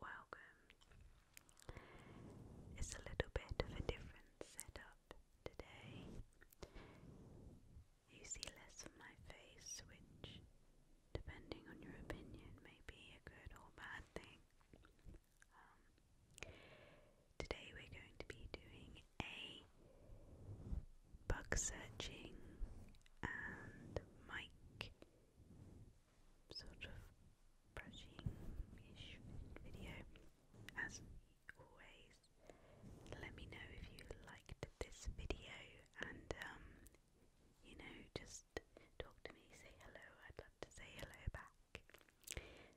Welcome. It's a little bit of a different setup today. You see less of my face, which, depending on your opinion, may be a good or bad thing. Um, today we're going to be doing a Bug Searching and Mike sort of brushing-ish video. As always, let me know if you liked this video and um, you know, just talk to me, say hello, I'd love to say hello back.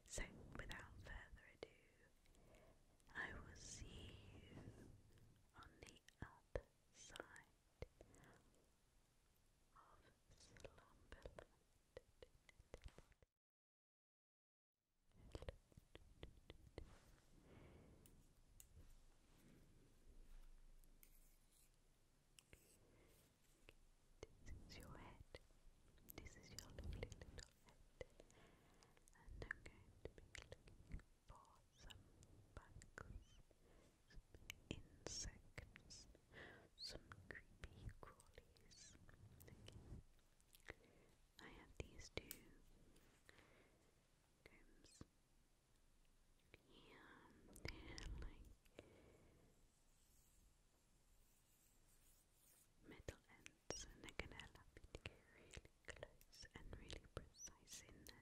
So, without further ado, I will see you on the outside of slumberland. This is your head. This is your lovely little head. And I'm going to be looking some bugs, insects, some creepy crawlies. I have these two combs. Yeah, they're like metal and they're get really close and really precise in there.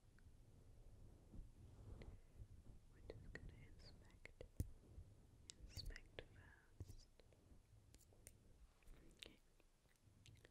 We're just going to inspect, inspect first. That's really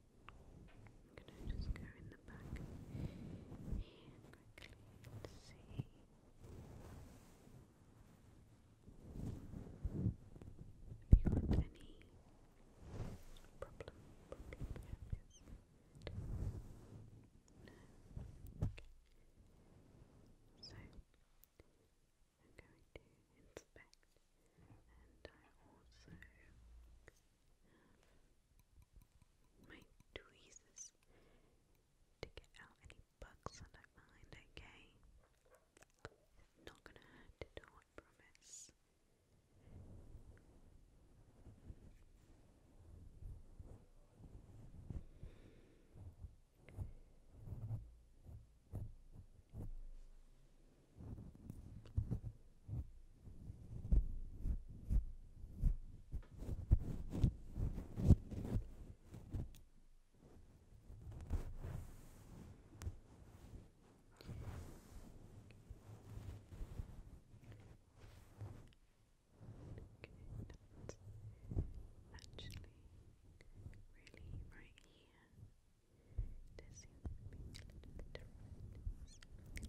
I'm gonna just go in the back here quickly see. Have you got any problem? No. So I'm going to inspect, and I also my tweezers to get out any bugs that I find, okay? not gonna hurt I promise really right here. There seems to be a little bit of redness.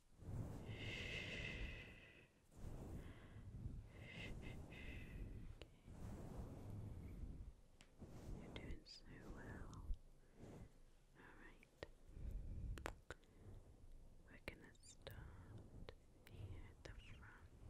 You're doing so well. Alright. We're gonna start here at the front.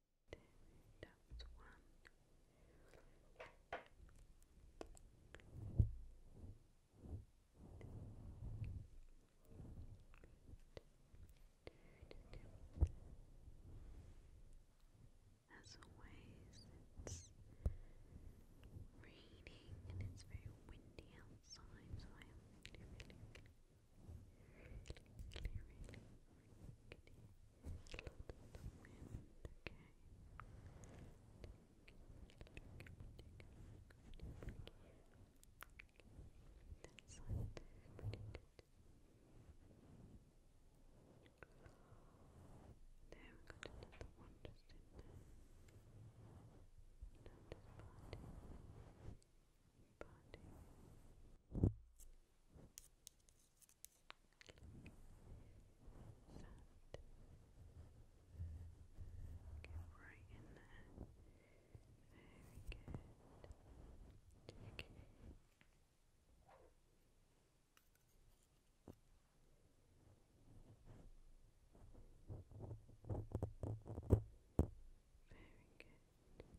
That was As always, it's raining and it's very windy outside, there we another one just in there. Now just party. Get right Very good. Very good.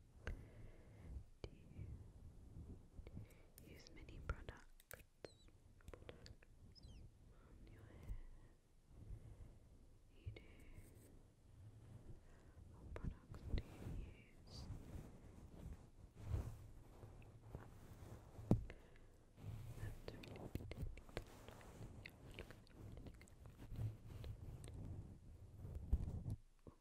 do you use many products, What products do you use?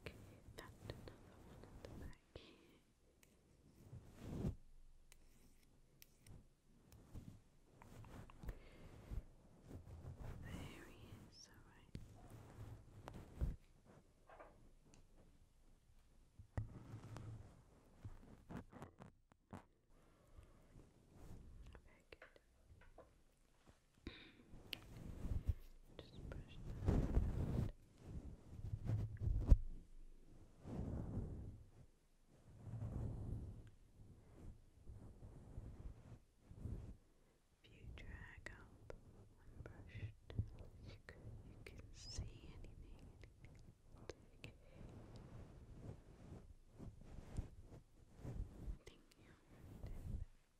Okay, that's another one at the back There he is, alright. Very good. If you drag up and brush, you can, you can see anything. anything. Thank you.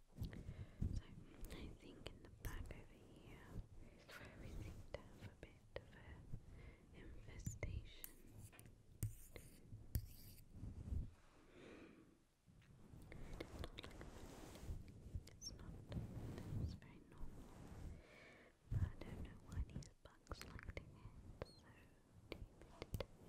So I think in the back over here is we seem to have a bit of an infestation. It is not like it's not it's very normal. But I don't know why these bugs like to get so deep another one.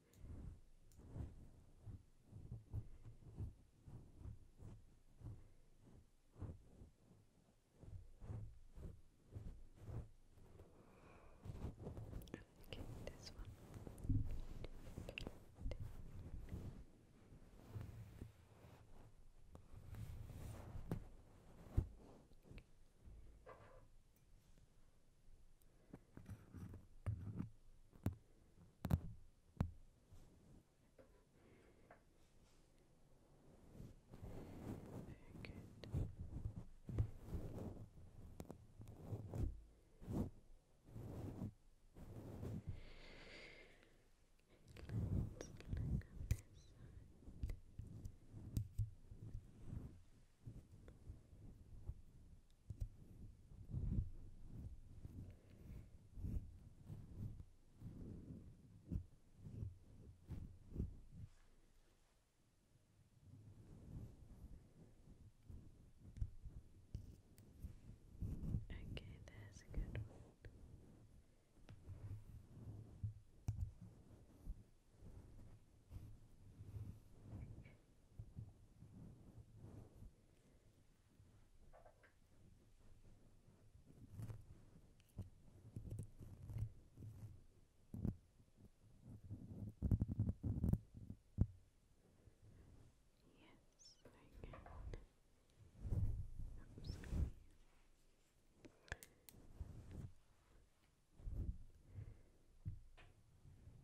Okay, this one. Okay. Very good. Let's look on this side. Okay, there's good Yes, I can. I'm sorry. Yes,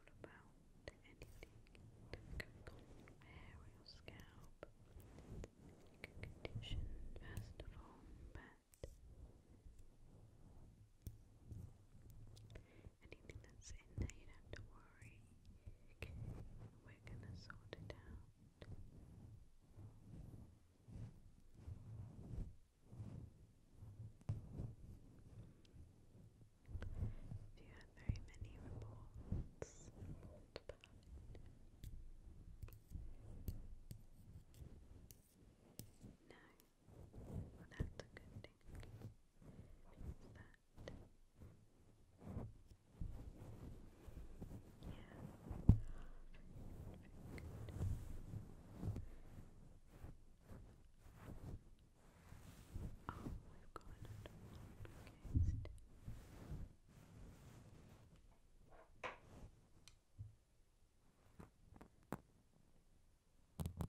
all about anything hair scalp. You condition first but anything that's in there, you don't have to worry. we're gonna sort it out. If you have very many reports, no, well that's a good thing. yeah, Oh, we've got another one. Okay, stay. good. Very good.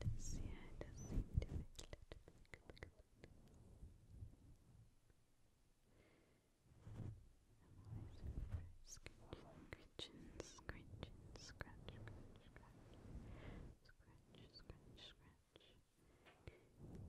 This yeah, it does seem to be a little bit good. I'm always afraid. Scratching, scratching, scratching, scratch, scratch, scratch, scratch, scratch, scratch. I messed it a little bit.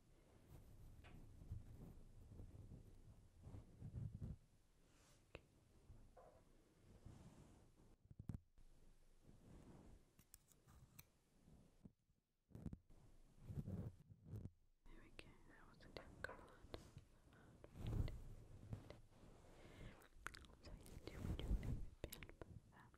There we go, that was a difficult one. So you do do a bit of that.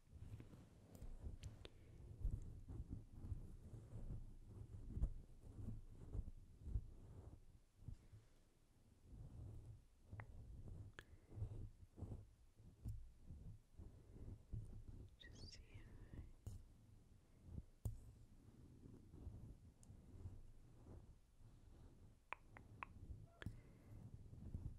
Just see if I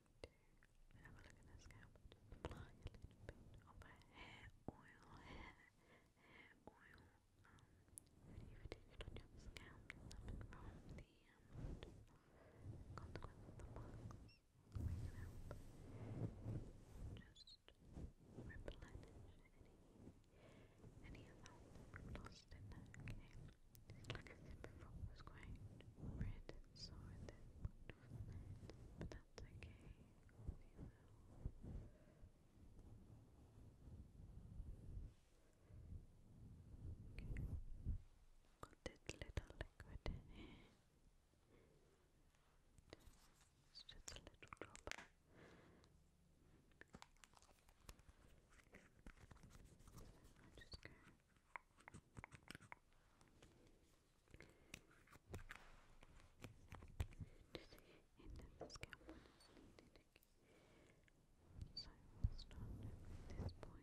to have a look at the scalp hair oil, hair, oil, um, radiation on your scalp coming from the um, consequence of the wax. We can just replenish any, any of that lost in there, Like I said before, it was quite red this or that, but that's okay, you know. Okay. Got this little liquid just a little drop. I'm just going to and then the scalp one is start with this point again because that's what I was read